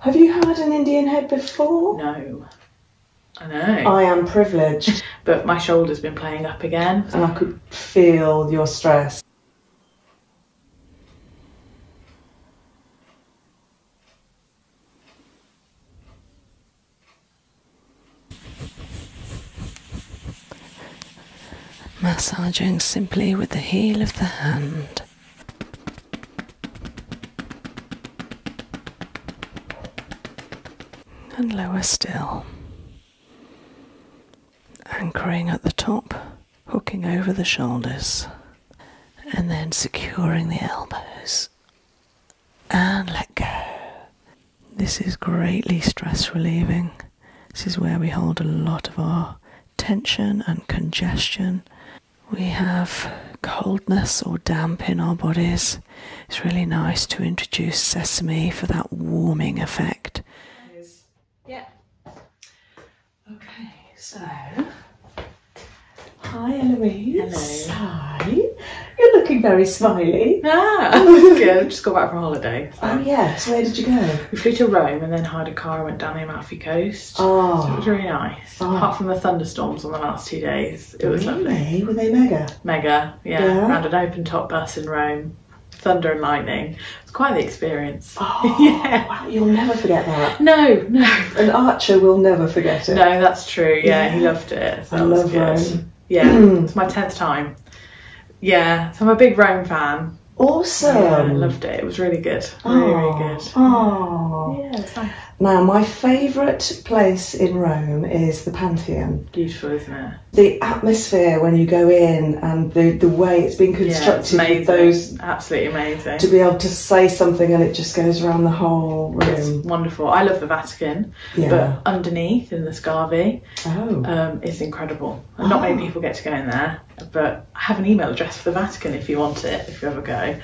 Have you had an Indian head before? No. I know. I am privileged. but my shoulder's been playing up again. And I could feel your stress. Massaging simply with the heel of the hand and lower still. Anchoring at the top, hooking over the shoulders, and then securing the elbows. And let go. This is greatly stress relieving. This is where we hold a lot of our tension and congestion we have coldness or damp in our bodies, it's really nice to introduce sesame for that warming effect. Yeah. Okay, so. Hi Eloise. Hello. Hi. You're looking very smiley. Ah, Just got back from holiday. Oh yes. Where did you go? We flew to Rome and then hired a car and went down the Amalfi Coast. Oh, it was really nice. Apart from the thunderstorms on the last two days, it was really? Were they mega? Mega, yeah. yeah. an open top bus in Rome, thunder and lightning. It's quite the experience. Oh, yeah. Wow, you'll never forget that. No, no. An Archer will never forget it. No, that's true. Yeah, he loved it. So I love good. Rome. Yeah, it's my tenth time. Yeah, so I'm a big Rome fan. Awesome. I loved it. It was really good. Very oh, good. Oh. Yes. Yeah, Now, my favourite place in Rome is the Pantheon. Beautiful, isn't it? The atmosphere when you go in and the, the way it's been constructed. Those, Absolutely amazing. To be able to say something and it just goes around the whole room. wonderful. I love the Vatican, but underneath in the Scavi oh. um, is incredible. Not many ah. people get to go in there, but I have an email address for the Vatican if you want it, if you ever go.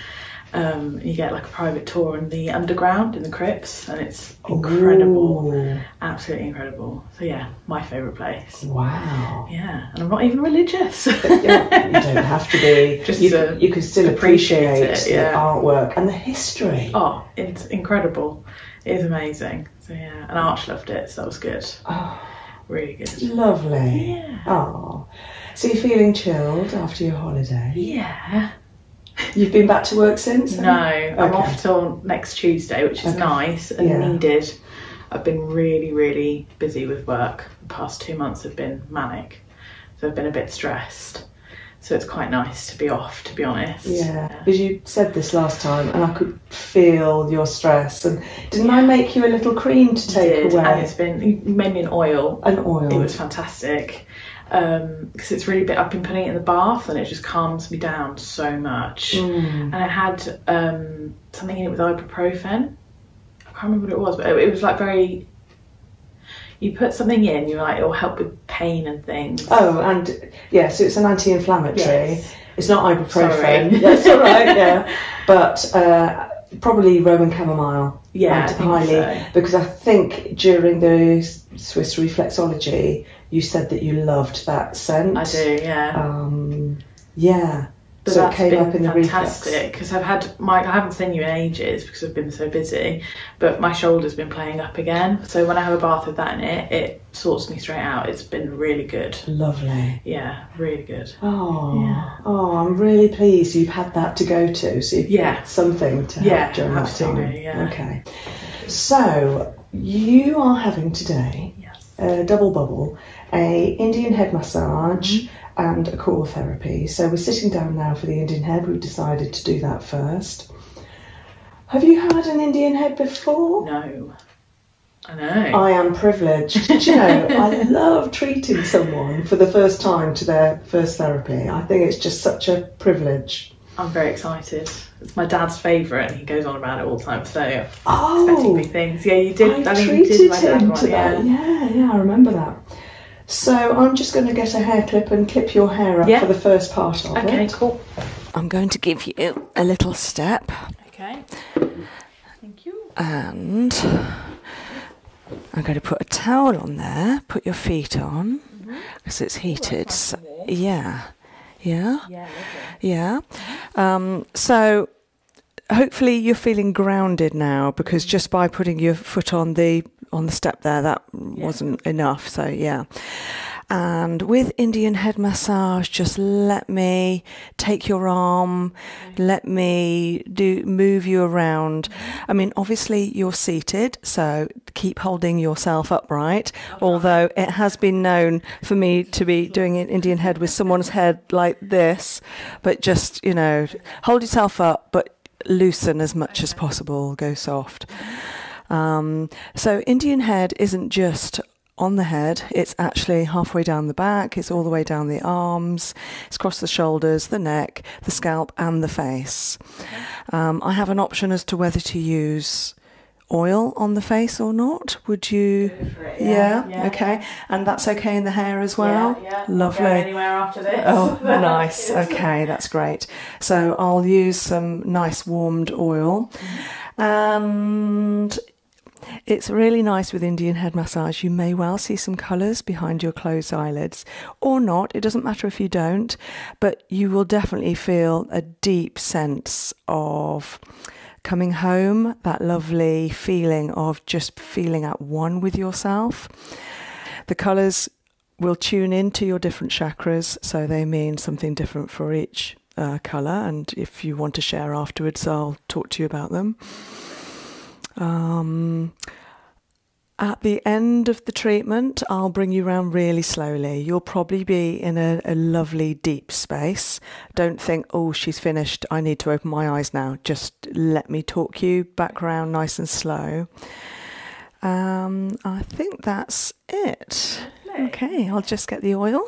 Um, you get like a private tour in the underground in the crypts, and it's incredible, absolutely incredible. So yeah, my favourite place. Wow. Yeah, and I'm not even religious. you don't have to be. Just you, can still appreciate, the artwork and the history. Oh, it's incredible. It is amazing. So yeah, and Arch loved it, so that was good. Oh. Really Lovely. Yeah. Oh. So you're feeling chilled after your holiday? Yeah. You've been back to work since? No, I'm off till next Tuesday, which is nice and needed. I've been really, really busy with work. The past two months have been manic, so I've been a bit stressed. So it's quite nice to be off, to be honest. Yeah, As you said this last time, and I could feel your stress and didn't I make you a little cream to you take away? And it's been you made me an oil. An oil. It was fantastic because um, it's really bit. I've been putting it in the bath and it just calms me down so much. Mm. And I had um, something in it with ibuprofen. I can't remember what it was, but it, was like very you put something in, you're like, it'll help with pain and things. Oh, and yes, yeah, so it's an anti-inflammatory. Yes. It's not ibuprofen. Sorry. That's all right. Yeah, but uh, probably Roman chamomile. Yeah, highly because I think during the Swiss reflexology, you said that you loved that scent. I do. Yeah. Um, yeah. But so that's been fantastic because I've had my I haven't seen you in ages because I've been so busy, but my shoulders has been playing up again. So when I have a bath with that in it, it sorts me straight out. It's been really good. Lovely. Yeah, really good. Oh, oh, I'm really pleased you've had that to go to. So you've yeah. something to help during that time. Okay. So you are having today yes. a double bubble, a Indian head massage mm-hmm. and a core therapy. So we're sitting down now for the Indian head. We've decided to do that first. Have you had an Indian head before? No. I know. I am i privileged. you know, I love treating someone for the first time to their first therapy. I think it's just such a privilege. I'm very excited. It's my dad's favourite. and He goes on about it all the time. So oh, expecting big things. Yeah, you did. I, I treated did him to that. One, yeah. yeah, yeah, I remember that. So I'm just going to get a hair clip and clip your hair up for the first part of it. Okay, cool. I'm going to give you a little step. Okay. Thank you. And I'm going to put a towel on there. Put your feet on because mm-hmm. it's oh, heated. so, yeah, yeah, yeah. Um, so hopefully you're feeling grounded now because mm-hmm. just by putting your foot on the on the step there, that wasn't enough. So yeah. And with Indian head massage, just let me take your arm, let me do move you around. I mean, obviously you're seated, so keep holding yourself upright. Although it has been known for me to be doing an Indian head with someone's head like this, but just you know, hold yourself up, but loosen as much as possible, go soft. Um, so Indian head isn't just on the head. It's actually halfway down the back. It's all the way down the arms. It's across the shoulders, the neck, the scalp, and the face. Um, I have an option as to whether to use oil on the face or not would you yeah. yeah, okay and that's okay in the hair as well yeah, lovely anywhere after this oh nice okay that's great so i'll use some nice warmed oil mm-hmm. and it's really nice with Indian head massage. You may well see some colours behind your closed eyelids or not. It doesn't matter if you don't, but you will definitely feel a deep sense of coming home, that lovely feeling of just feeling at one with yourself. The colours will tune into your different chakras, so they mean something different for each uh, colour. And if you want to share afterwards, I'll talk to you about them. Um, at the end of the treatment, I'll bring you around really slowly. You'll probably be in a, lovely deep space. Don't think, oh, she's finished. I need to open my eyes now. Just let me talk you back around nice and slow. Um, I think that's it. Okay, I'll just get the oil.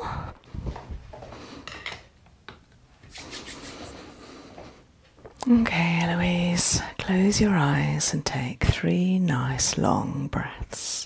Okay, Eloise, close your eyes and take three nice long breaths.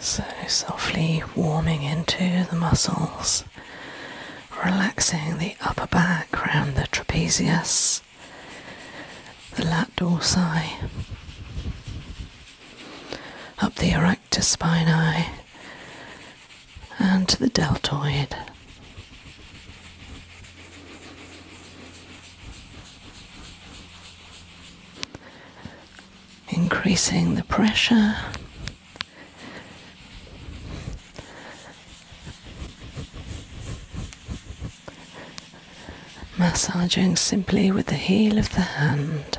So softly warming into the muscles, relaxing the upper back around the trapezius, the latissimus up the erector spinae and to the deltoid. Increasing the pressure. Massaging simply with the heel of the hand.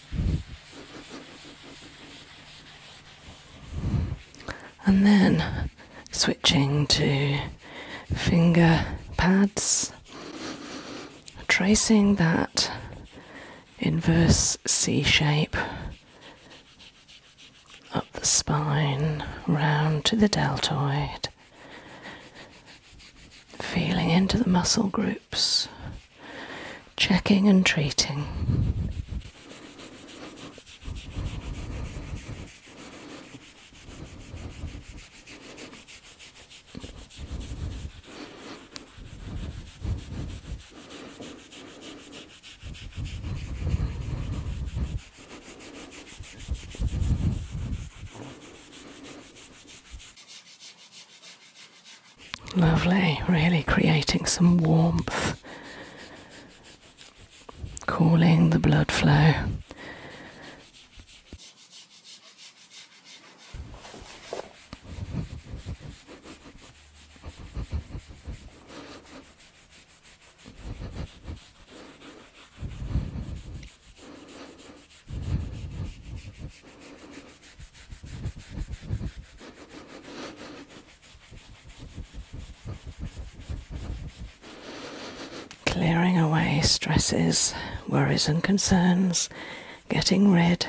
and then switching to finger pads, tracing that inverse C shape up the spine, round to the deltoid, feeling into the muscle groups checking and treating. Lovely, really creating some warmth, cooling the blood flow. Clearing away stresses, worries, and concerns, getting rid,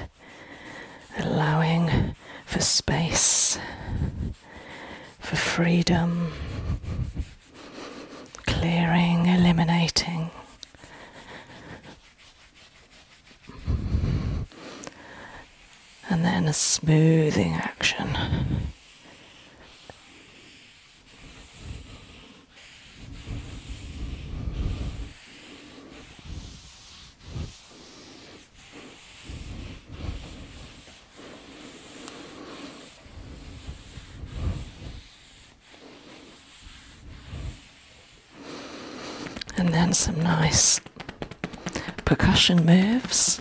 allowing for space, for freedom, clearing, eliminating and then a smoothing action. And then some nice percussion moves.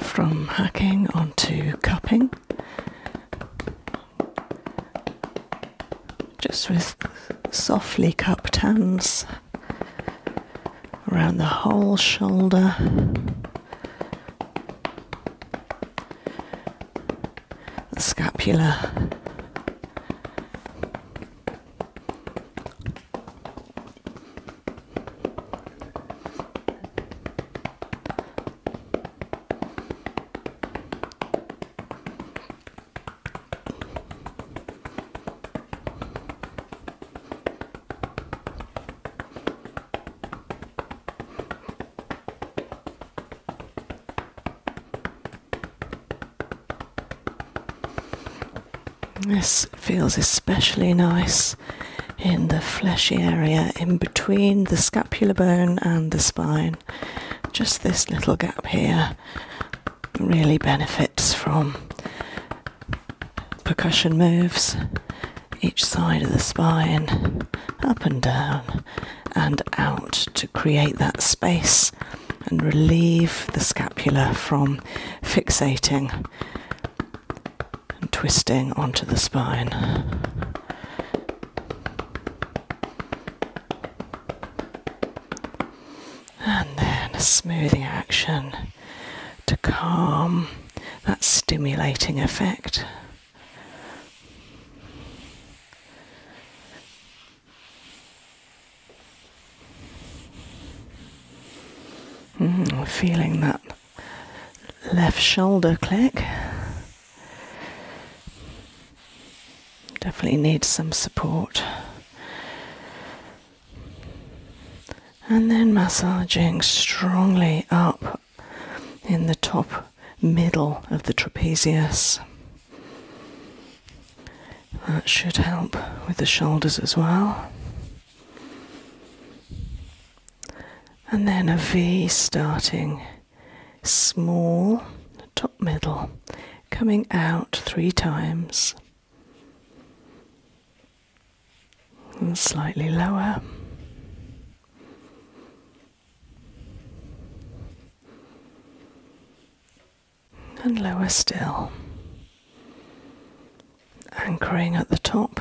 From hacking onto cupping, just with softly cupped hands around the whole shoulder. The scapula. This feels especially nice in the fleshy area in between the scapular bone and the spine. Just this little gap here really benefits from percussion moves each side of the spine, up and down and out to create that space and relieve the scapula from fixating and twisting onto the spine and then a smoothing action to calm that stimulating effect. Mm, feeling that left shoulder click. Definitely needs some support and then massaging strongly up in the top middle of the trapezius. That should help with the shoulders as well. And then a V starting small, top middle, coming out three times slightly lower. And lower still, anchoring at the top,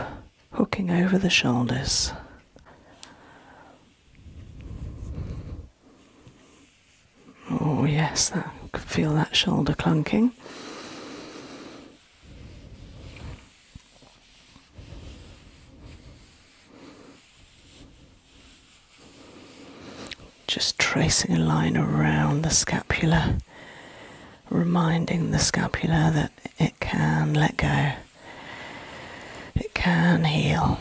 hooking over the shoulders. Oh, yes, I can feel that shoulder clunking. Just tracing a line around the scapula, reminding the scapula that it can let go, it can heal.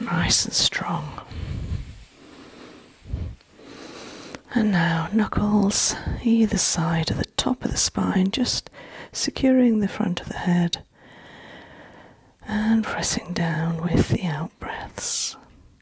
Nice and strong. And now, knuckles either side of the top of the spine, just securing the front of the head and pressing down with the out breaths.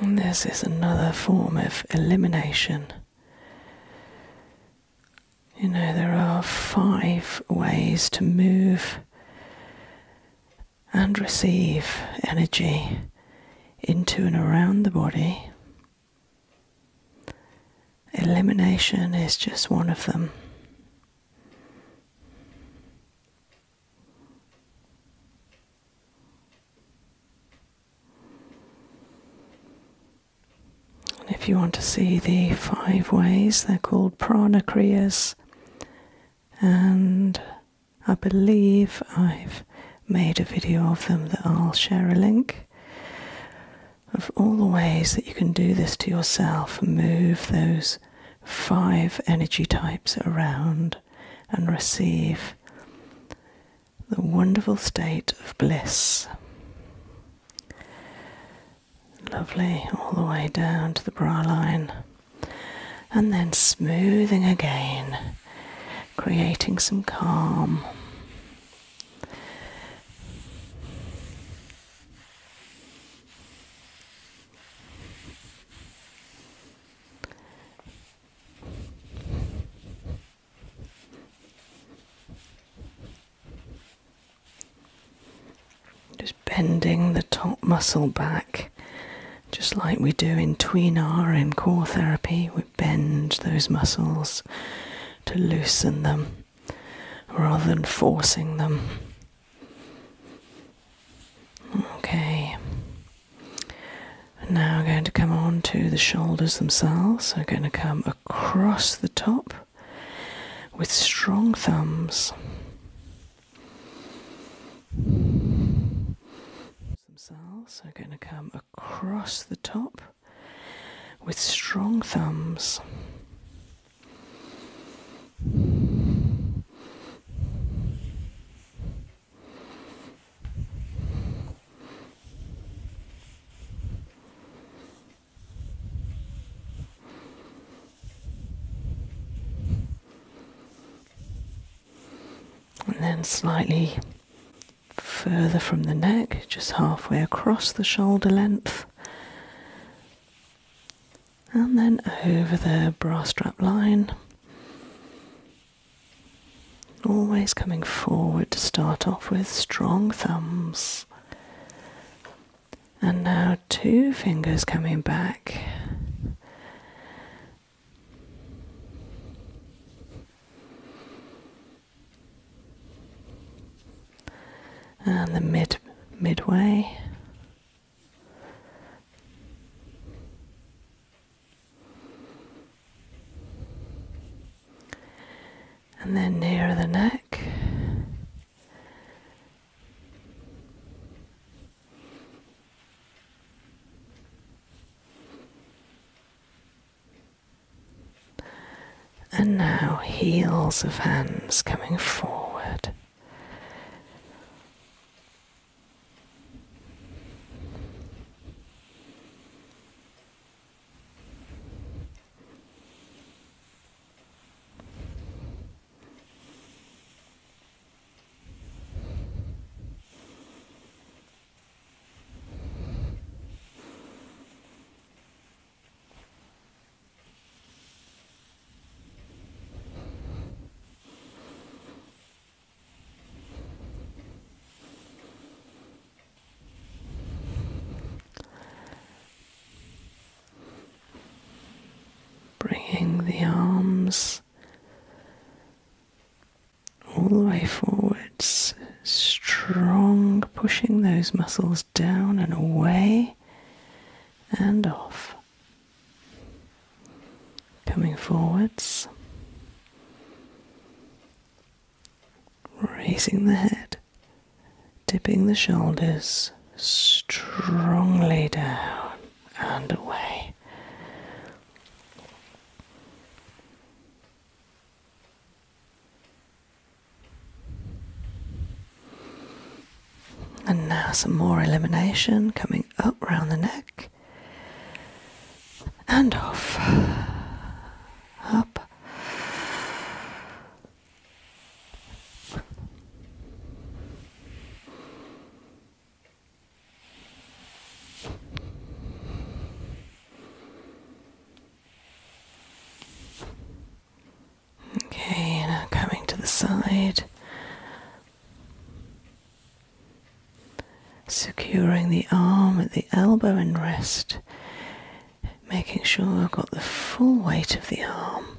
And this is another form of elimination. You know, there are five ways to move and receive energy into and around the body. Elimination is just one of them. And if you want to see the five ways, they're called prana and I believe I've made a video of them that I'll share a link of all the ways that you can do this to yourself move those five energy types around and receive the wonderful state of bliss. Lovely, all the way down to the bra line, and then smoothing again, creating some calm. Just bending the top muscle back, just like we do in tweenar in core therapy, we bend those muscles to loosen them rather than forcing them. Okay, now I'm going to come on to the shoulders themselves. So I'm going to come across the top with strong thumbs. Themselves, so i going to come across the top with strong thumbs. And then slightly further from the neck, just halfway across the shoulder length, and then over the bra strap line. Always coming forward to start off with strong thumbs. And now two fingers coming back and the mid midway and then nearer the neck and now heels of hands coming forward. Bringing the arms all the way forwards. Strong pushing those muscles down and away and off. Coming forwards, raising the head, dipping the shoulders strongly down and away. And now some more elimination coming up round the neck and off. Up. Okay, now coming to the side, securing the arm at the elbow and wrist, making sure I've got the full weight of the arm,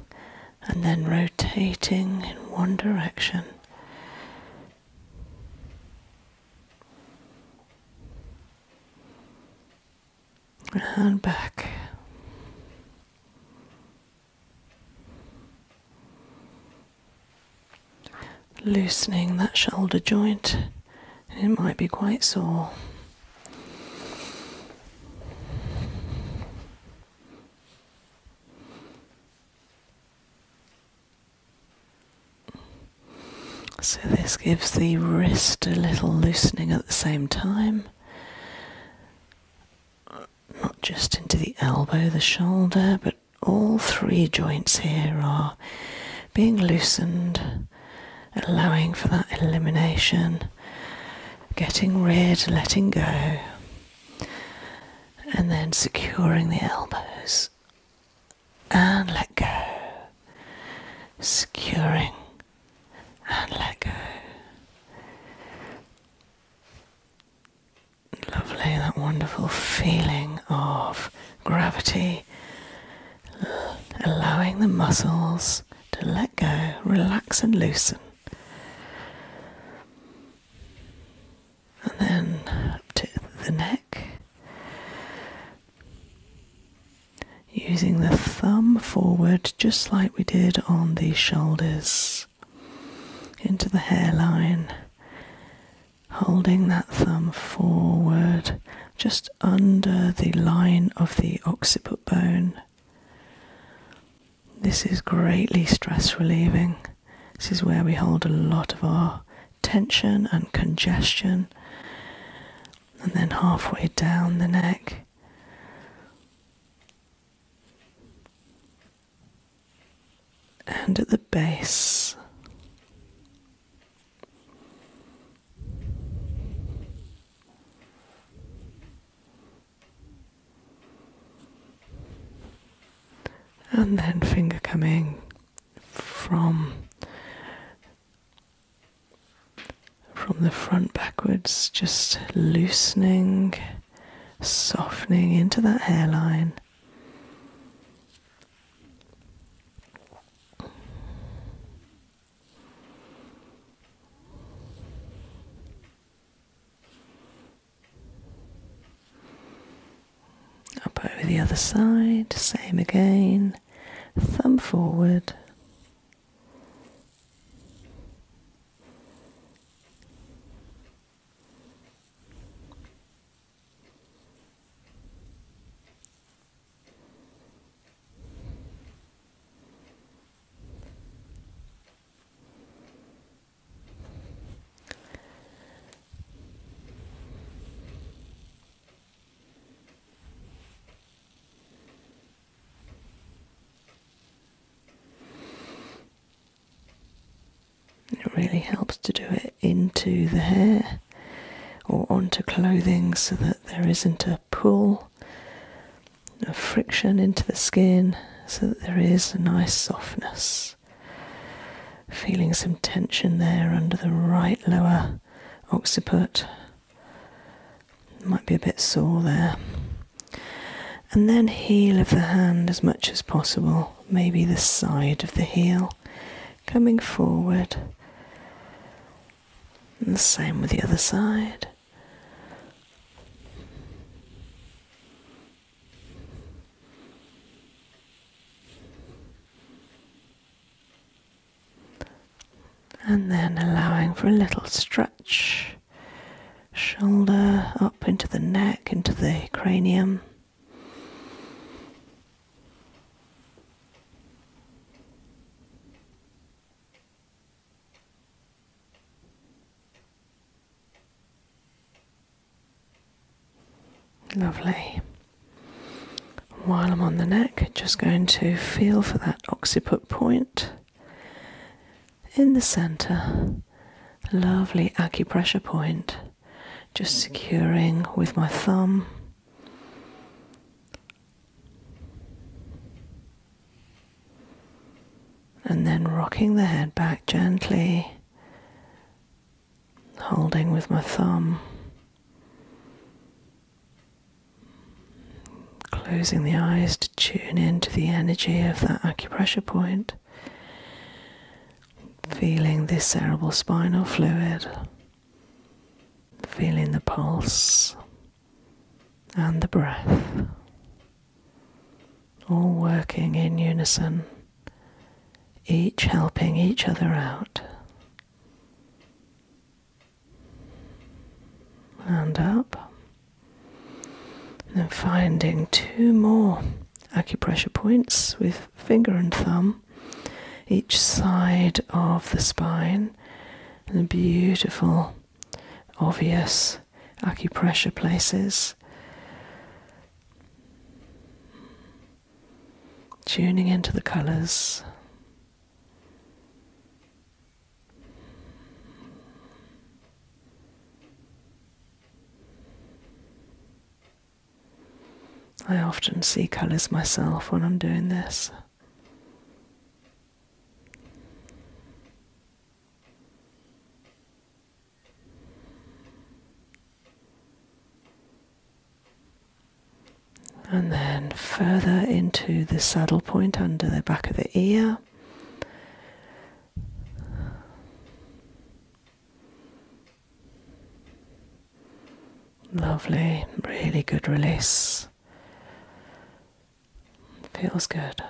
and then rotating in one direction and back. Loosening that shoulder joint, it might be quite sore. So this gives the wrist a little loosening at the same time, not just into the elbow, the shoulder, but all three joints here are being loosened, allowing for that elimination, getting rid, letting go, and then securing the elbows and let go. securing. and let go. Lovely, that wonderful feeling of gravity, allowing the muscles to let go, relax and loosen. And then up to the neck, Using the thumb forward, just like we did on the shoulders, into the hairline, holding that thumb forward, just under the line of the occiput bone. This is greatly stress relieving. This is where we hold a lot of our tension and congestion, and then halfway down the neck. And at the base, and then finger coming from from the front backwards, just loosening, softening into that hairline. Up over the other side, same again. Thumb forward. It really helps to do it into the hair or onto clothing so that there isn't a pull of friction into the skin, so that there is a nice softness. Feeling some tension there under the right lower occiput. Might be a bit sore there. And then heel of the hand as much as possible, maybe the side of the heel coming forward. And the same with the other side and then allowing for a little stretch, shoulder up into the neck, into the cranium. Lovely. While I'm on the neck, just going to feel for that occiput point in the center. Lovely acupressure point, just securing with my thumb. And then rocking the head back gently holding with my thumb, closing the eyes to tune into the energy of that acupressure point, feeling this cerebral spinal fluid, feeling the pulse and the breath, all working in unison, each helping each other out and up. And then finding two more acupressure points with finger and thumb each side of the spine, and beautiful, obvious acupressure places tuning into the colors. I often see colors myself when I'm doing this and then further into the saddle point under the back of the ear. Lovely, really good release. Feels good.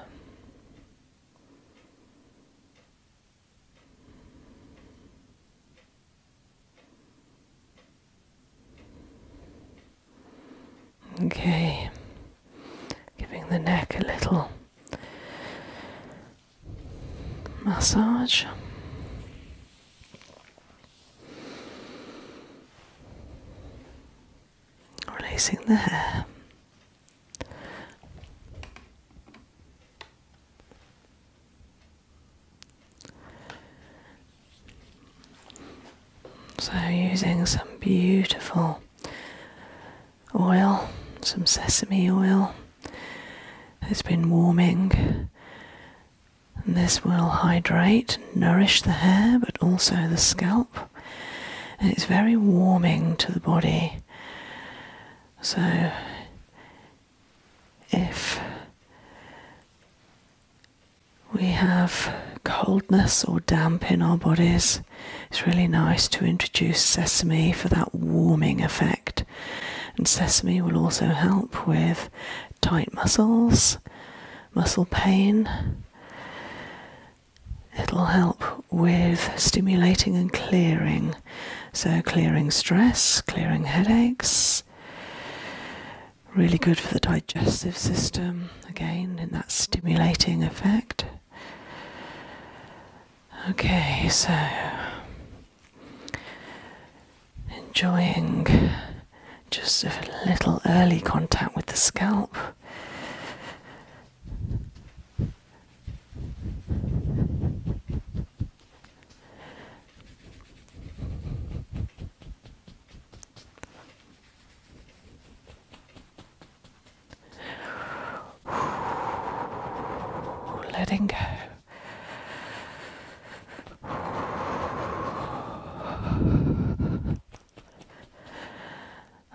Okay, giving the neck a little massage. Releasing the hair. So, using some beautiful oil, some sesame oil, it's been warming. And this will hydrate, nourish the hair, but also the scalp. And it's very warming to the body. So, if we have coldness or damp in our bodies, it's really nice to introduce sesame for that warming effect. And sesame will also help with tight muscles, muscle pain. It'll help with stimulating and clearing. So, clearing stress, clearing headaches, Really good for the digestive system, again, in that stimulating effect. Okay, so enjoying just a little early contact with the scalp. Letting go.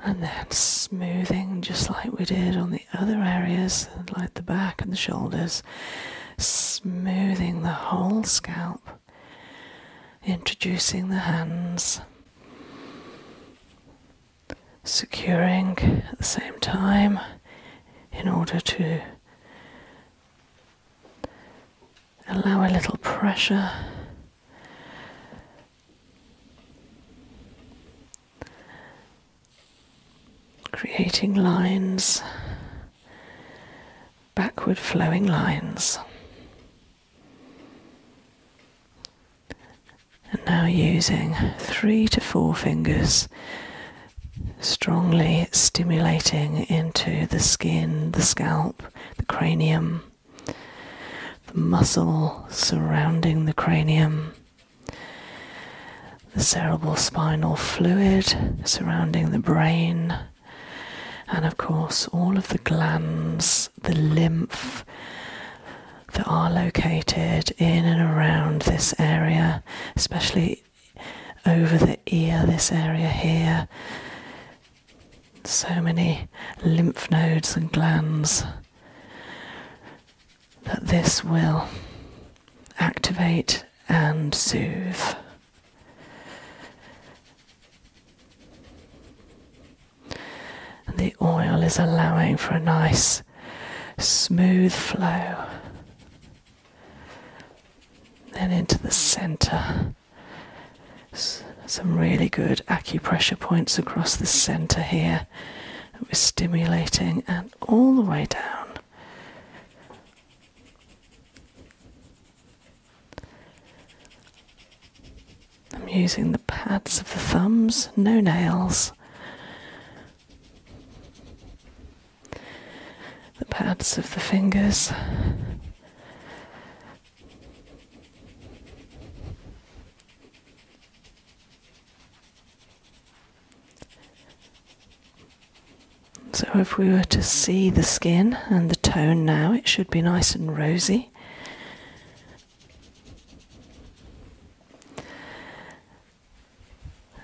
And then smoothing just like we did on the other areas, like the back and the shoulders, smoothing the whole scalp, introducing the hands, securing at the same time in order to allow a little pressure. Creating lines backward flowing lines. And now using three to four fingers, strongly stimulating into the skin, the scalp, the cranium, the muscle surrounding the cranium, the cerebral spinal fluid surrounding the brain, and of course, all of the glands, the lymph that are located in and around this area, especially over the ear, this area here. So many lymph nodes and glands that this will activate and soothe. the oil is allowing for a nice smooth flow. Then into the center. some really good acupressure points across the center here that we're stimulating, and all the way down I'm using the pads of the thumbs, no nails. The pads of the fingers. So, if we were to see the skin and the tone now, it should be nice and rosy.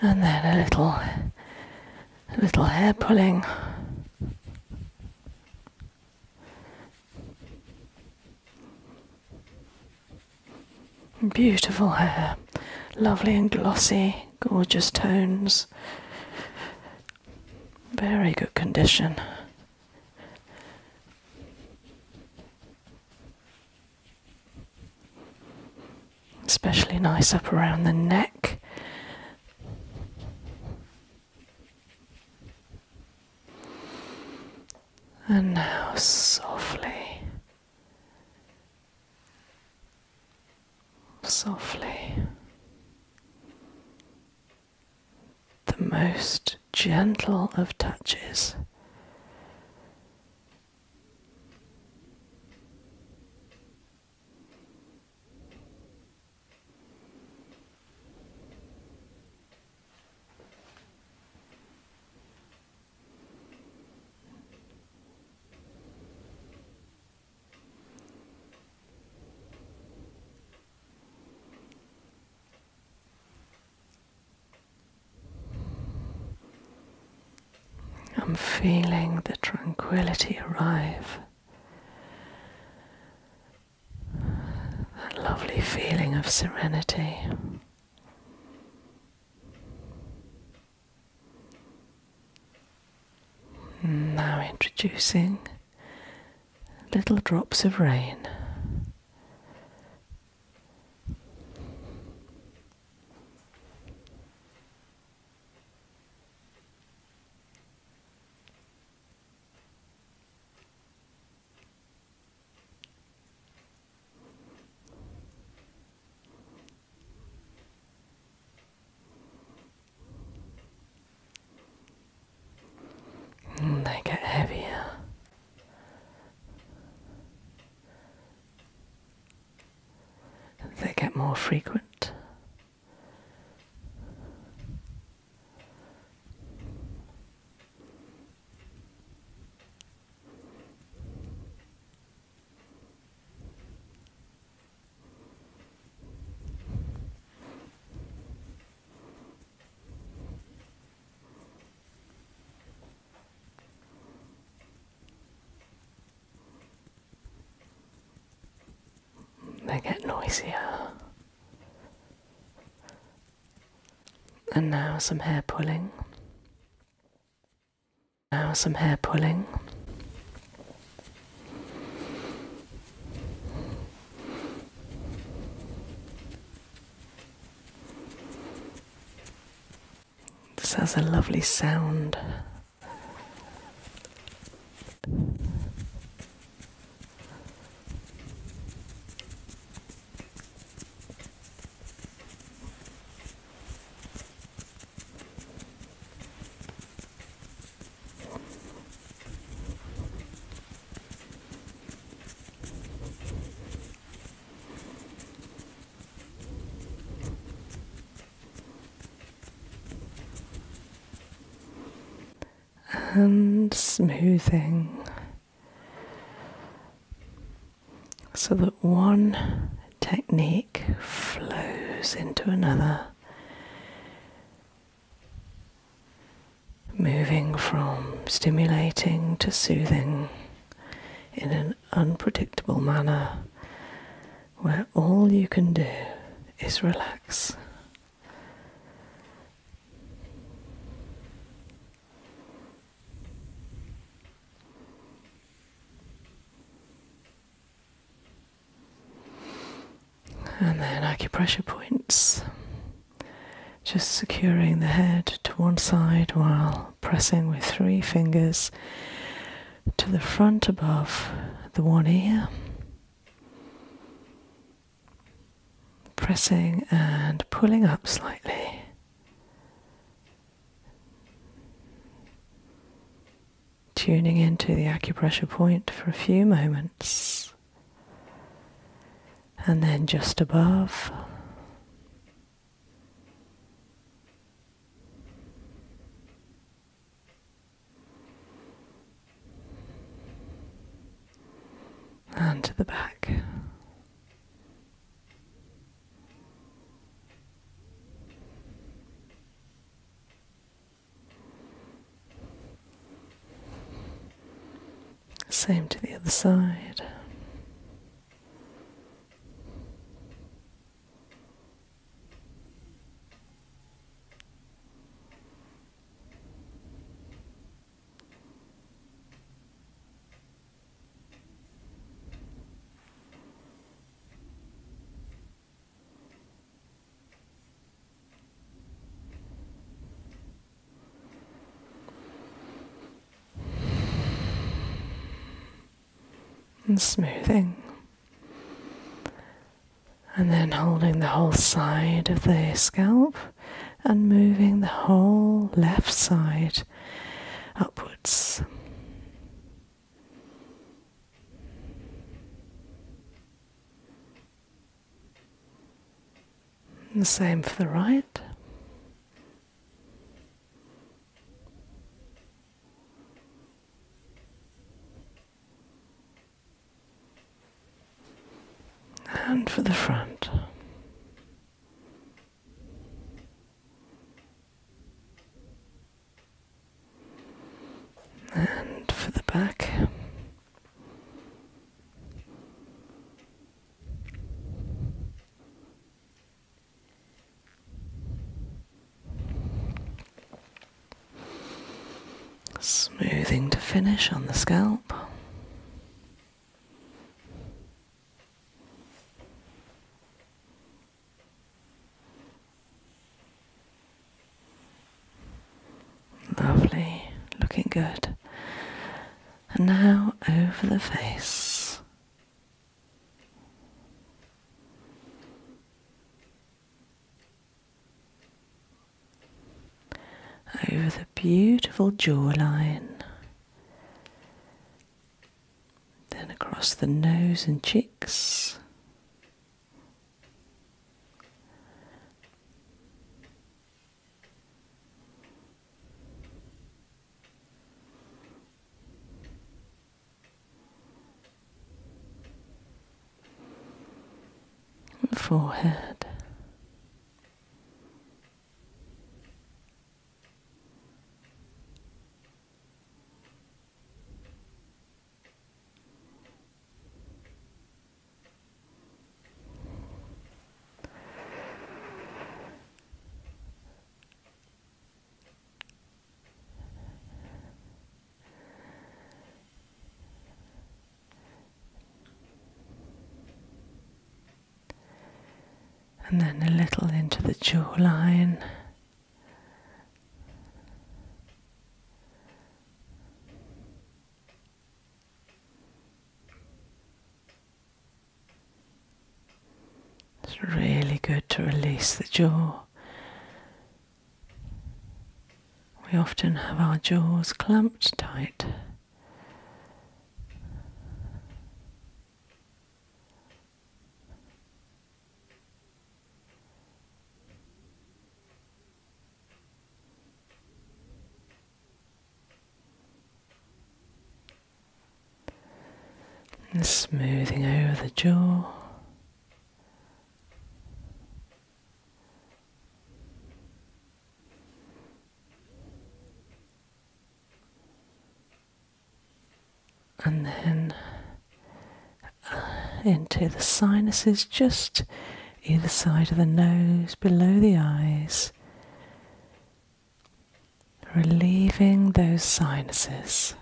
And then a little, a little hair pulling. Beautiful hair, lovely and glossy gorgeous tones. Very good condition. Especially nice up around the neck. And now softly softly. The most gentle of touches. I'm feeling the tranquility arrive. That lovely feeling of serenity. Now introducing little drops of rain. Mm, they get heavier. They get more frequent. They get noisier. And now some hair pulling. Now, some hair pulling. This has a lovely sound and smoothing so that one technique flows into another, moving from stimulating to soothing in an unpredictable manner where all you can do is relax. And then acupressure points, just securing the head to one side while pressing with three fingers to the front above the one ear. Pressing and pulling up slightly tuning into the acupressure point for a few moments and then just above. And to the back. Same to the other side and smoothing, and then holding the whole side of the scalp and moving the whole left side upwards. The same for the right. And for the front. And for the back. Smoothing to finish on the scalp. Lovely, looking good. And now over the face. Over the beautiful jawline then across the nose and cheeks. Forehead. And then a little into the jawline, it's really good to release the jaw. We often have our jaws clamped tight. And smoothing over the jaw and then uh, into the sinuses, just either side of the nose, below the eyes, relieving those sinuses.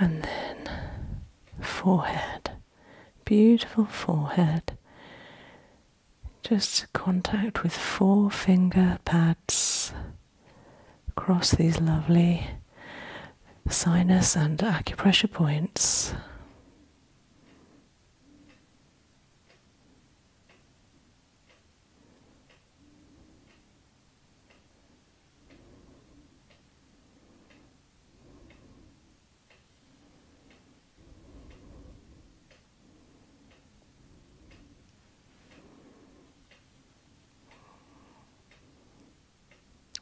And then forehead, beautiful forehead, just contact with four finger pads across these lovely sinus and acupressure points.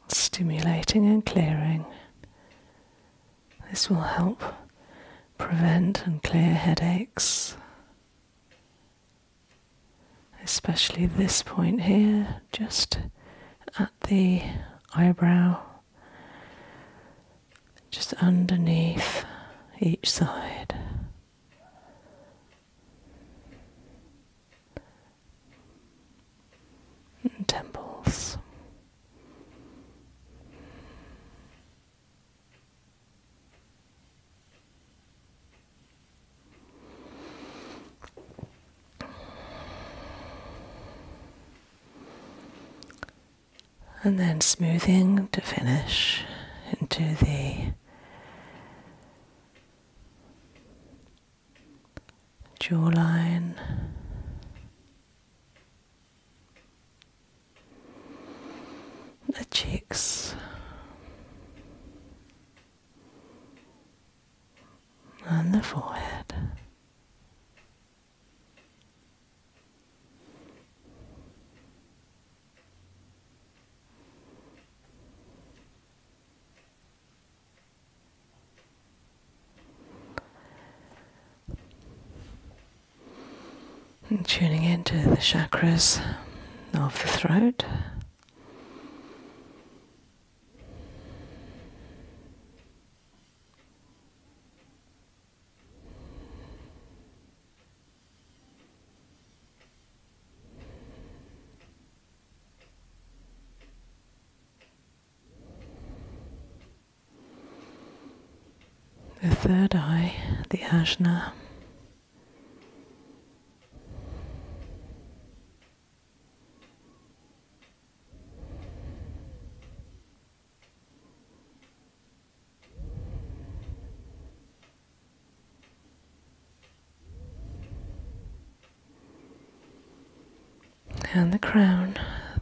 Stimulating and clearing. This will help prevent and clear headaches, especially this point here, just at the eyebrow just underneath each side. temples and then smoothing to finish into the jawline. The cheeks and the forehead, and tuning into the chakras of the throat. The third eye, the ashna. And the crown,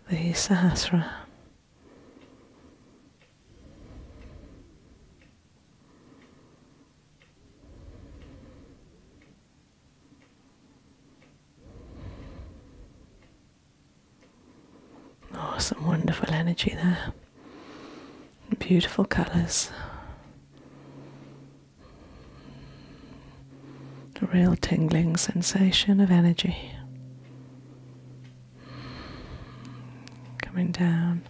the Sahasra. Awesome, oh, wonderful energy there. Beautiful colours. A real tingling sensation of energy coming down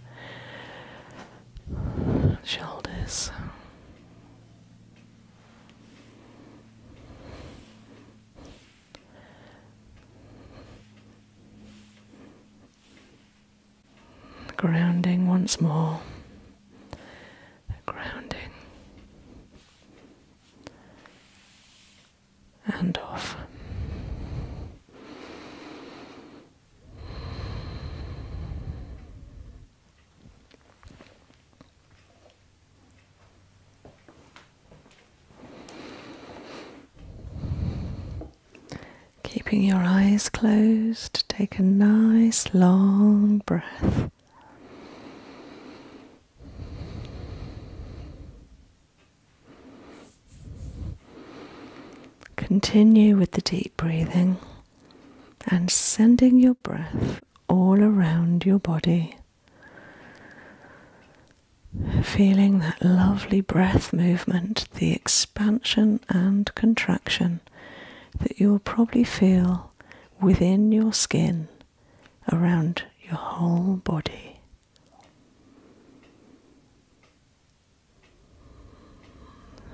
shoulders. Grounding once more. Grounding. And off. Keeping your eyes closed, take a nice long breath. Continue with the deep breathing and sending your breath all around your body. Feeling that lovely breath movement, the expansion and contraction that you will probably feel within your skin around your whole body.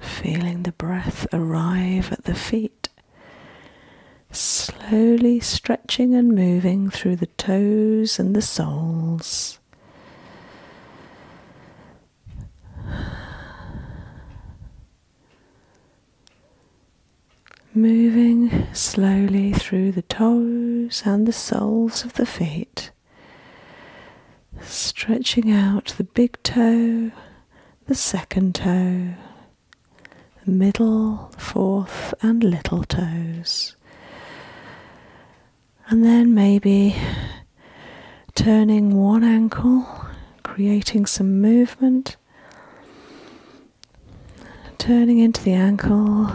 Feeling the breath arrive at the feet, slowly stretching and moving through the toes and the soles. Moving slowly through the toes and the soles of the feet, stretching out the big toe, the second toe, middle, fourth, and little toes. And then maybe turning one ankle, creating some movement, turning into the ankle,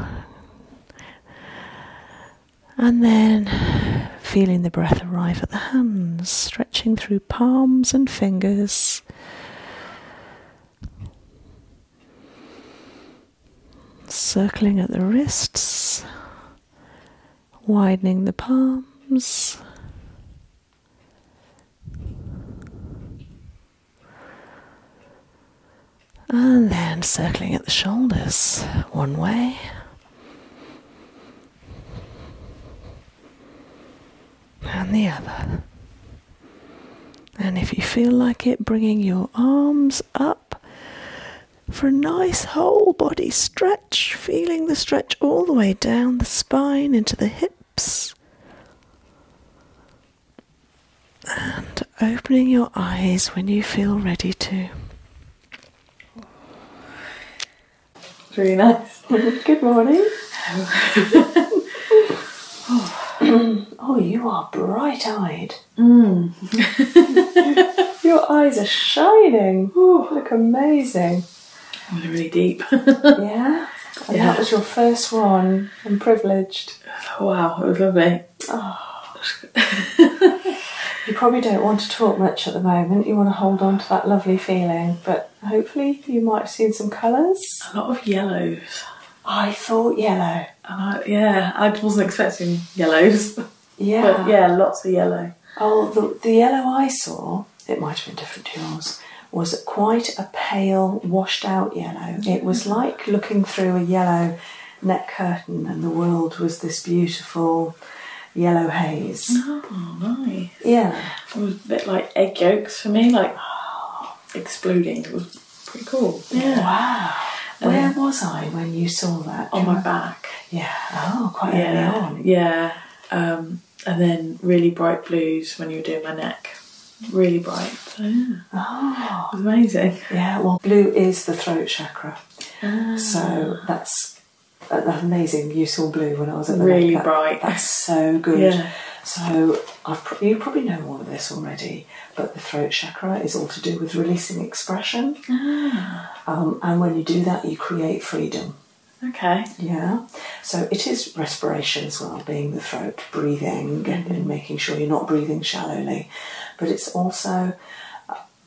and then feeling the breath arrive at the hands, stretching through palms and fingers. Circling at the wrists, widening the palms. And then circling at the shoulders one way. And the other. And if you feel like it, bringing your arms up for a nice whole body stretch, feeling the stretch all the way down the spine into the hips. And opening your eyes when you feel ready to. It's really nice. Good morning. oh, you are bright eyed. Mm. Your eyes are shining. Ooh. Look amazing. Oh, they're really deep. yeah. And that was your first one. I'm privileged. Oh, wow, it was lovely. Oh. you probably don't want to talk much at the moment. You want to hold on to that lovely feeling, but hopefully you might see seen some colours. A lot of yellows. I thought yellow. Uh, yeah, I wasn't expecting yellows. Yeah. yeah, lots of yellow. Oh, the, yellow I saw, it might have been different to yours, was quite a pale, washed out yellow. It was mm-hmm. like looking through a yellow net curtain, and the world was this beautiful yellow haze. Oh, nice. Yeah. It was a bit like egg yolks for me, like. exploding. It was pretty cool. Yeah. Wow. Where was I when you saw that? On my back. Yeah. Oh, quite early on. Yeah. Um, and then really bright blues when you were doing my neck. Really bright. So, Oh. amazing. Yeah, well, blue is the throat chakra. Ah. So that's, uh, amazing. You saw blue when I was at the Really bright. That's so good. Yeah. So I've, you probably know all of this already, but the throat chakra is all to do with releasing expression. Ah. Um, and when you do that, you create freedom. Okay. Yeah. So it is respiration as well, being the throat, breathing, mm-hmm. and making sure you're not breathing shallowly. But it's also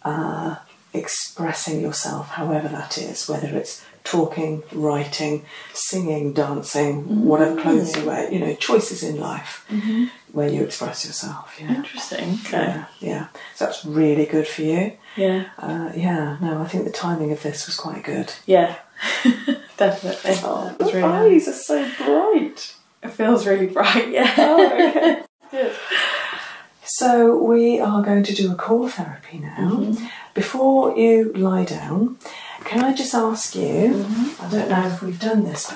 uh, expressing yourself, however that is, whether it's talking, writing, singing, dancing, whatever mm. clothes you wear, you know, choices in life. Mm-hmm where you express yourself. Yeah. Interesting. Okay. Yeah, yeah. So that's really good for you. Yeah. Uh, yeah. No, I think the timing of this was quite good. Yeah. Definitely. Oh, your eyes are so bright. It feels really bright. Yeah. Oh, okay. good. So we are going to do a core therapy now. Mm-hmm. Before you lie down, can I just ask you? Mm-hmm. I don't know if we've done this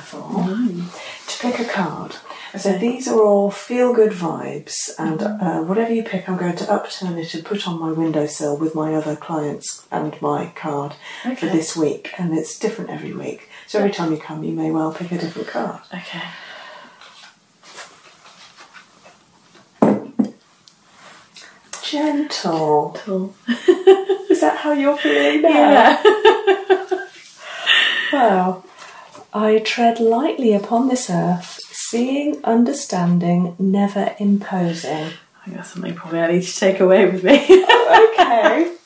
to pick a card. So these are all feel good vibes, and mm-hmm. uh, whatever you pick, I'm going to upturn it and put on my windowsill with my other clients and my card for this week. And it's different every week. So every time you come, you may well pick a different card. Okay. Gentle. Is that how you're feeling now? Yeah. I tread lightly upon this earth, seeing, understanding, never imposing. I got something probably I need to take away with me. Oh, okay,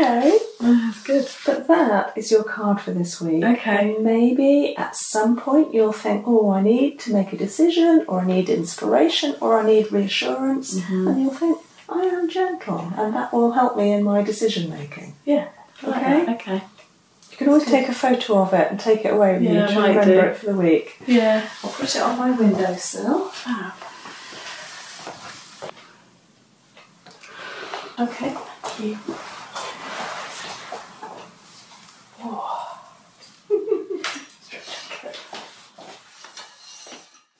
okay. that's good. But that is your card for this week. Okay. maybe at some point you'll think, oh, I need to make a decision, or I need inspiration, or I need reassurance. Mm-hmm. And you'll think, I am gentle, and that will help me in my decision making. Yeah. okay. Okay. You can always take a photo of it and take it away with you to remember do. it for the week. Yeah. I'll put it on my windowsill. Fab. Okay, thank you.